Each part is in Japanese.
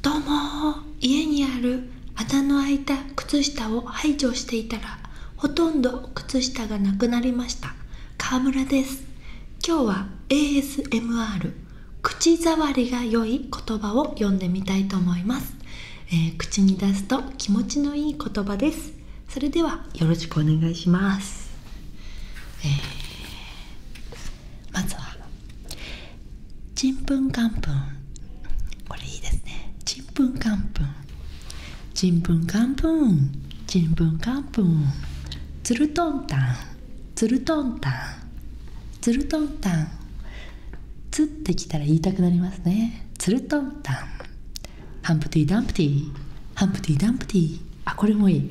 どうも家にある穴の開いた靴下を排除していたらほとんど靴下がなくなりました川村です今日は ASMR 口触りが良い言葉を読んでみたいと思います、え口に出すと気持ちのいい言葉ですそれではよろしくお願いします、まずはちんぷんかんぷんこれいいですねちんぷんかんぷんちんぷんかんぷんちんぷんかんぷんつるとんたんつるとんたんつるとんたんつってきたら言いたくなりますねつるとんたんハンプティ・ダンプティハンプティ・ダンプティあこれもいい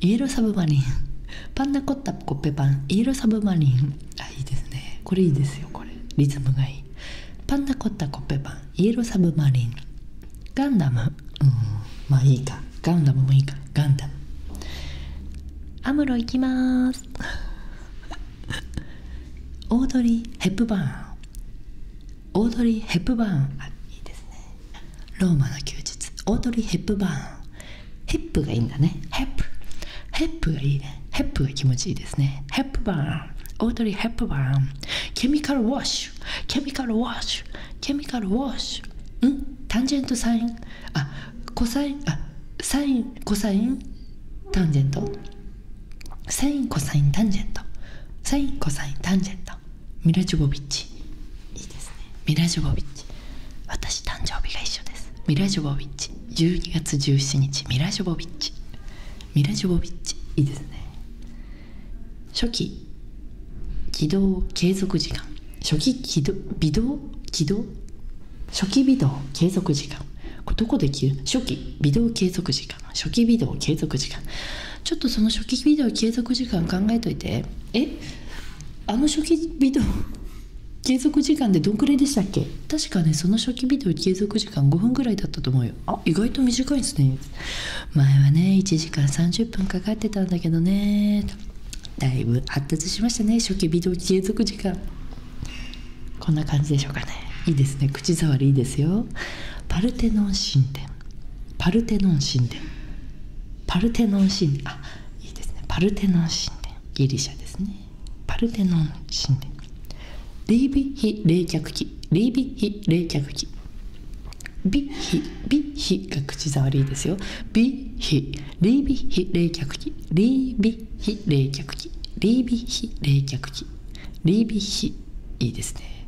イエローサブマリンパンダコッタコッペパンイエローサブマリンあいいですねこれいいですよこれリズムがいいパンダコッタコッペパンイエローサブマリンガンダムうんまあいいかガンダムもいいかガンダムアムロいきます オードリー・ヘップバーンオードリー・ヘップバーンあいいですねローマの休日オードリー・ヘップバーンヘップがいいんだねヘップヘップがいいヘップが気持ちいいですねヘップバーンオードリー・ヘップバーンケミカル・ウォッシュケミカル・ウォッシュケミカル・ウォッシュんタンジェント・サインあコサインあサインコサインタンジェントサインコサインタンジェントサインコサインタンジェントミラジョボビッチいいですねミラジョボビッチ私誕生日が一緒ですミラジョボビッチ12月17日ミラジョボビッチミラジョボビッチいいですね初期起動継続時間初期起動微動起動初期起動継続時間これどこで切る初期起動継続時間初期起動継続時間ちょっとその初期ビデオ継続時間考えといてえあの初期ビデオ 継続時間でどんくらいでしたっけ確かねその初期ビデオ継続時間5分ぐらいだったと思うよあ意外と短いですね前はね1時間30分かかってたんだけどねだいぶ発達しましたね初期ビデオ継続時間こんな感じでしょうかねいいですね口触りいいですよパルテノン神殿パルテノン神殿パルテノン神殿あいいですねパルテノン神殿ギリシャですねパルテノン神殿リービ非冷却器リービ非冷却器ビヒビヒが口触りですよビヒリービヒ冷却器リービヒ冷却器リービヒ冷却器リービヒいいですね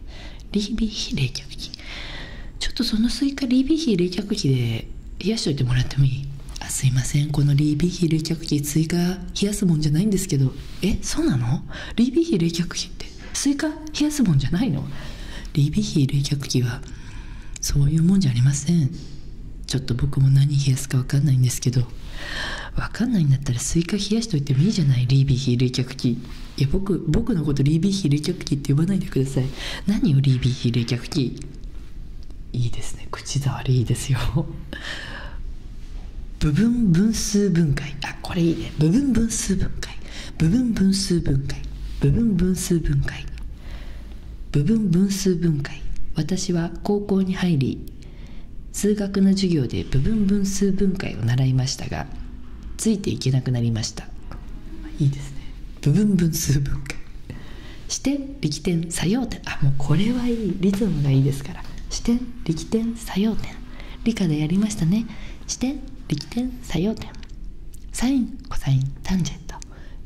リービー冷却機ちょっとそのスイカリービー冷却機で冷やしといてもらってもいいあすいませんこのリービー冷却機スイ冷やすもんじゃないんですけどえそうなのリービー冷却機ってスイカ冷やすもんじゃないのリービー冷却機はそういうもんじゃありませんちょっと僕も何冷やすか分かんないんですけど分かんないんだったらスイカ冷やしといてもいいじゃないリービー非冷却機いや僕僕のことリービー比冷却器って呼ばないでください何をリービー比冷却器いいですね口触りいいですよ 部分分数分解あこれいいね部分分数分解部分分数分解部分分数分解部分分数分解私は高校に入り数学の授業で部分分数分解を習いましたがついていけなくなりましたいいですね部分分数分解視点力点作用点あもうこれはいいリズムがいいですから視点力点作用点理科でやりましたね視点力点作用点サインコサインタンジェント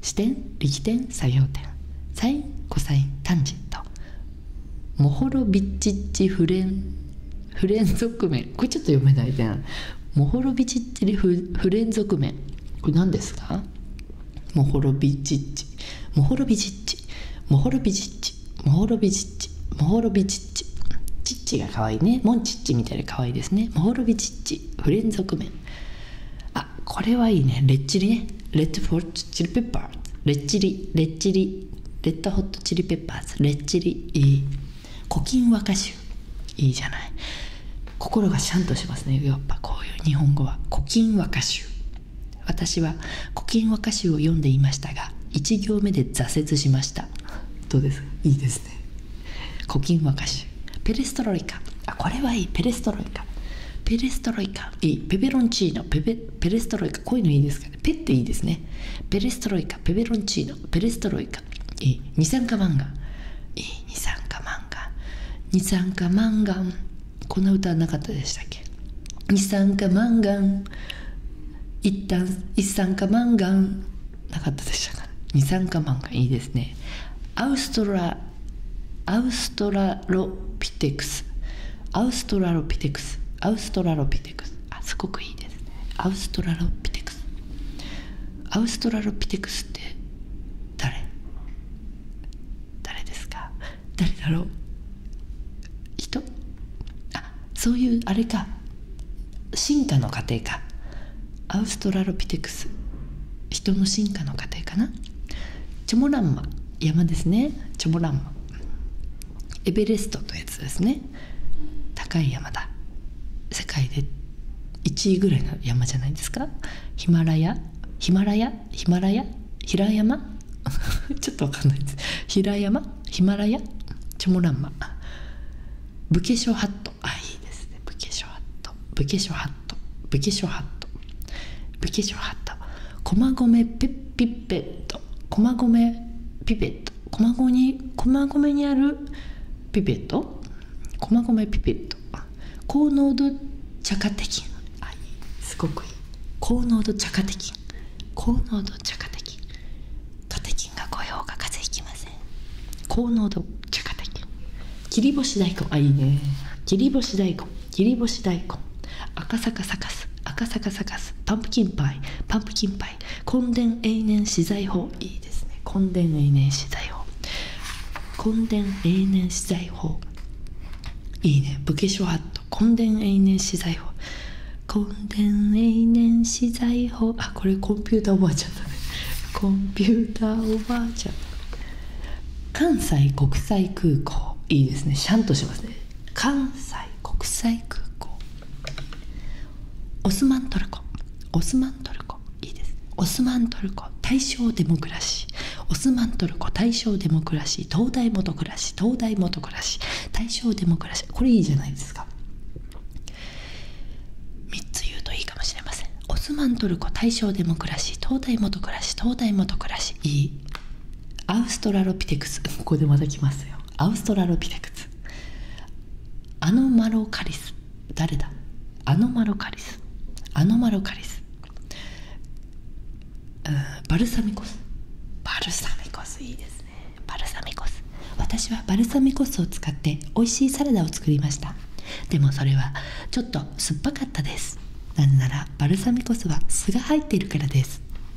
視点力点作用点サインコサインタンジェントモホロビッチッチフレンフ不連続麺これちょっと読めないじゃんモホロビチッチで不不連続麺これ何ですかモホロビチッチモホロビチッチモホロビチッチモホロビチッチモホロビチッチチッチが可愛いねモンチッチみたいに可愛いですねモホロビチッチフ不連続麺あこれはいいねレッチリねレッドフォーチリペッパーレッチリレッチリレッドホットチリペッパーズレッチリいい古今和歌集いいじゃない心がシャンとしますねやっぱこういう日本語は古今和歌集私は古今和歌集を読んでいましたが1行目で挫折しましたどうですいいですね古今和歌集ペレストロイカあこれはいいペレストロイカペレストロイカいペペロンチーノペペペレストロイカこういうのいいですかペっていいですねペレストロイカペベロンチーノペレストロイカい二酸化マンガンい二酸化マンガン二酸化マンガンこんな歌はなかったでしたっけ二酸化マンガン一旦一酸化マンガンなかったでしたか二酸化マンガンいいですねアウストラアウストラロピテクスアウストラロピテクスアウストラロピテクス。すごくいいですねアウストラロピテクスアウストラロピテクスって誰誰ですか誰だろう人あそういうあれか進化の過程かアウストラロピテクス人の進化の過程かなチョモランマ山ですねチョモランマエベレストとやつですね高い山だ世界で1位ぐらいの山じゃないですかヒマラヤヒマラヤヒマラヤ平山 ちょっとわかんないです平山ヒマラヤチョモランマ武家書ハットあいいですね武家書ハット武家書ハット武家書ハット武家書ハット駒込ピッピッペット駒込ピペット駒込に駒込にあるピペット駒込ピペット高濃度茶化的すごくいい高濃度茶化的高濃度茶化的カテキンが来ようが風邪ひきません高濃度茶化的切り干し大根あいいね切り干し大根切り干し大根赤坂サカス赤坂サカスパンプキンパイパンプキンパイぱい墾田永年資材法いいですね墾田永年資材法墾田永年資材法いいね武家諸法度墾田永年資材法墾田永年資材法あこれコンピュータおばあちゃんコンピュータおばあちゃん関西国際空港いいですねシャンとします関西国際空港オスマントルコオスマントルコいいですオスマントルコ大正デモクラシーオスマントルコ大正デモクラシー東大元暮らし東大元暮らし大正デモクラシーこれいいじゃないですか3つ言うといいかもしれませんオスマントルコ大正デモクラシー東大元暮らし東大元暮らしいいアウストラロピテクス ここでまた来ますよアウストラロピテクスアノマロカリス誰だアノマロカリスアノマロカリスバルサミコスバルサミコスいいですねバルサミコス私はバルサミコスを使って美味しいサラダを作りましたでもそれはちょっと酸っぱかったですなぜならバルサミコスは酢が入っているからです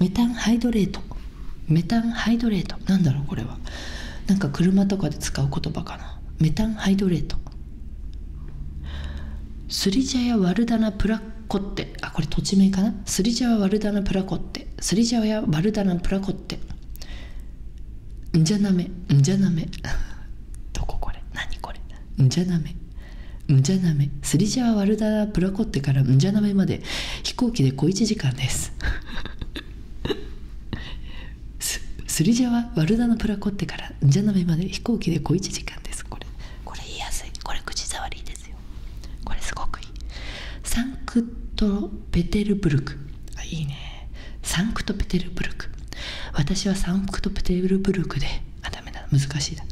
メタンハイドレートメタンハイドレートなんだろうこれはなんか車とかで使う言葉かなメタンハイドレートスリジャヤ・ワルダナ・プラコッテあこれ土地名かなスリジャヤ・ワルダナ・プラコッテスリジャヤ・ワルダナ・プラコッテんじゃなめんじゃなめ どここれ何これんじゃなめんじゃなめスリジャー・ワルダー・プラコッテからんじゃなめまで飛行機で小1時間です スリジャはワルのプラコッテからんじゃなめまで飛行機で小1時間ですこれこれ言いやすいこれ口触りですよこれすごくいいサンクトペテルブルクあいいねサンクトペテルブルク私はサンクトペテルブルクであダメだ難しいだ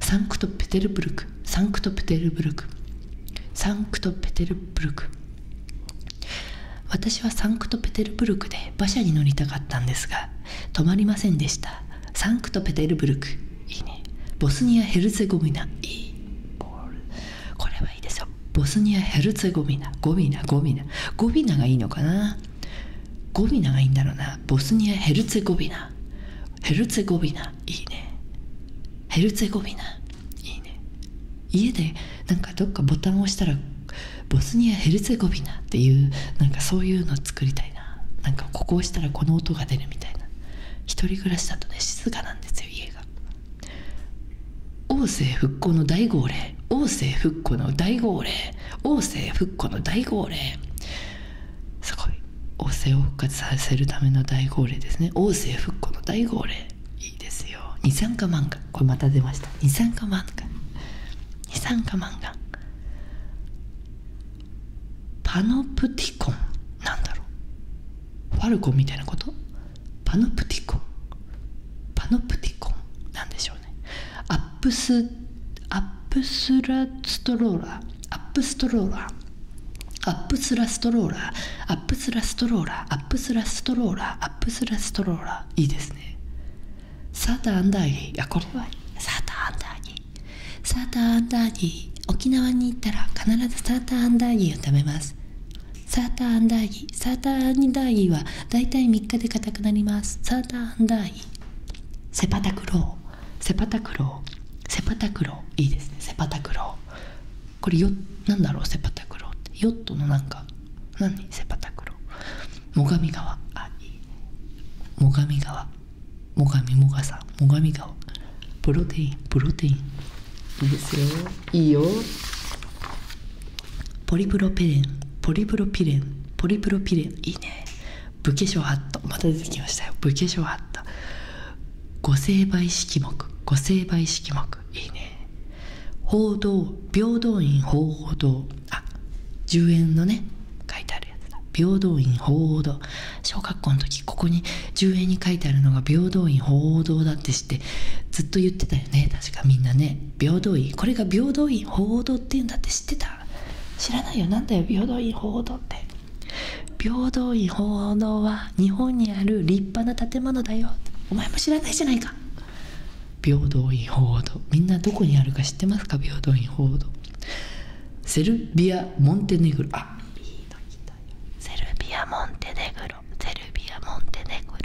サンクトペテルブルクサンクトペテルブルクサンクトペテルブルク私はサンクトペテルブルクで馬車に乗りたかったんですが止まりませんでしたサンクトペテルブルクいいねボスニア・ヘルツェゴビナいいこれはいいですよボスニア・ヘルツェゴビナゴビナゴビナゴミナがいいのかなゴビナがいいんだろうなボスニア・ヘルツェゴビナヘルツェゴビナいいねヘルツェゴビナいいね家でなんかどっかボタンを押したらボスニアヘルツェゴビナっていうなんかそういうの作りたいななんかここを押したらこの音が出るみたいな一人暮らしだとね静かなんですよ家が王政復興の大号令王政復興の大号令王政復興の大号令すごい王政を復活させるための大号令ですね王政復興の大号令いいですよ二酸化漫画これまた出ました二酸化漫画二酸化漫画パノプティコンなんだろうファルコンみたいなことパノプティコンパノプティコンなんでしょうねアップスラストローラアップストローラアップスラストローラアップスラストローラアップスラストローラアップスラストローラいいですねサーターアンダーギーやこれはサーターアンダーギーサーターアンダーギー沖縄に行ったら必ずサーターアンダーギーを食べますサーターアンダーギーサーターアンダーギーはだいたい3日で硬くなりますサーターアンダーギーセパタクローセパタクローセパタクローいいですねセパタクローこれよなんだろうセパタクローってヨットのなんか何セパタクロー最上川あいい最上川最上もがガ最上川プロテインプロテインいいですよいいよポリプロペレンポリプロピレンポリプロピレンいいね武化粧ハットまた出てきましたよ武家粧ハット御成敗式目御成敗式目いいね報道平等院報報道あ10円のね書いてあるやつだ平等院報報道小学校の時ここに10円に書いてあるのが平等院報報道だってしてずっと言ってたよね確かみんなね平等院これが平等院報報道っていうんだって知ってた知らないよなんだよ平等院鳳凰堂って平等院鳳凰堂は日本にある立派な建物だよお前も知らないじゃないか平等院鳳凰堂みんなどこにあるか知ってますか平等院鳳凰堂セルビア・モンテネグロセルビア・モンテネグロセルビア・モンテネグロ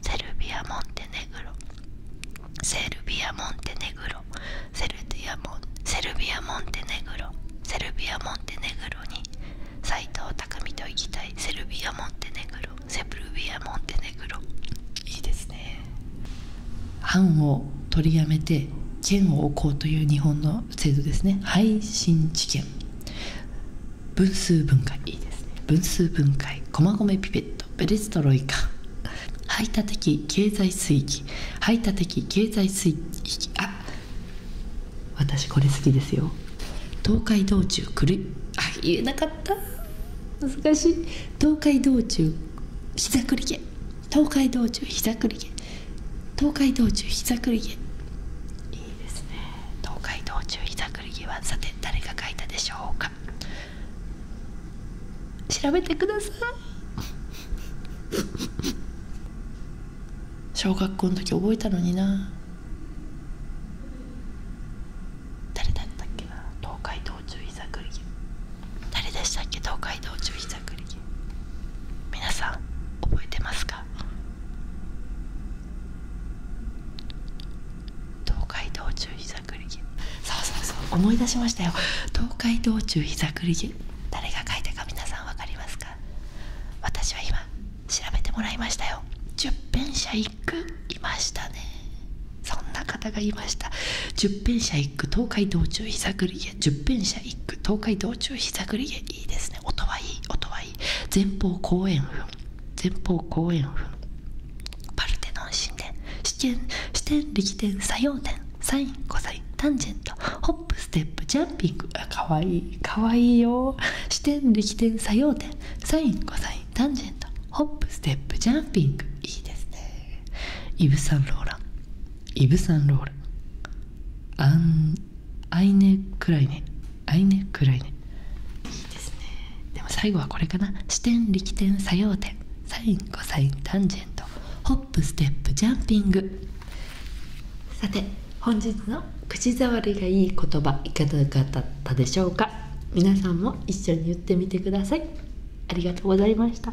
セルビア・モンテネグロセルビア・モンテネグロセルビア・モンテネグロセルビア・モンテネグロに斎藤工と行きたいセルビア・モンテネグロセブルビア・モンテネグロいいですね藩を取りやめて剣を置こうという日本の制度ですね配信治見分数分解いいですね分数分解駒込ピペットペレストロイカ排他的経済水域排他的経済水域あ私これ好きですよ東海道中くるあ言えなかった難しい東海道中膝栗毛東海道中膝栗毛東海道中膝栗毛いいですね東海道中膝栗毛はさて誰が書いたでしょうか調べてください小学校の時覚えたのにな誰だったっけな東海道中膝栗毛誰でしたっけ東海道中膝栗毛皆さん覚えてますか東海道中膝そうそうそう思い出しましたよ東海道中膝栗毛誰が書いたか皆さん分かりますか私は今調べてもらいましたよ十編者一句いましたねそんな方がいました十編者一句東海道中膝栗り毛十編者一句東海道中膝栗毛いいですね音はいい音はいい前方後円墳前方後円墳パルテノン神殿視点視点力点作用点サインコサインタンジェントホップステップジャンピングあかわいいかわいいよ視点力点作用点サインコサインタンジェントホップステップジャンピングいいですねイブ・サンローランイブ・サンローランアンアイネ・クライネアイネ・クライネいいですねでも最後はこれかな視点力点作用点サインコサインタンジェントホップステップジャンピングさて本日の口触りがいい言葉いかがだったでしょうか皆さんも一緒に言ってみてくださいありがとうございました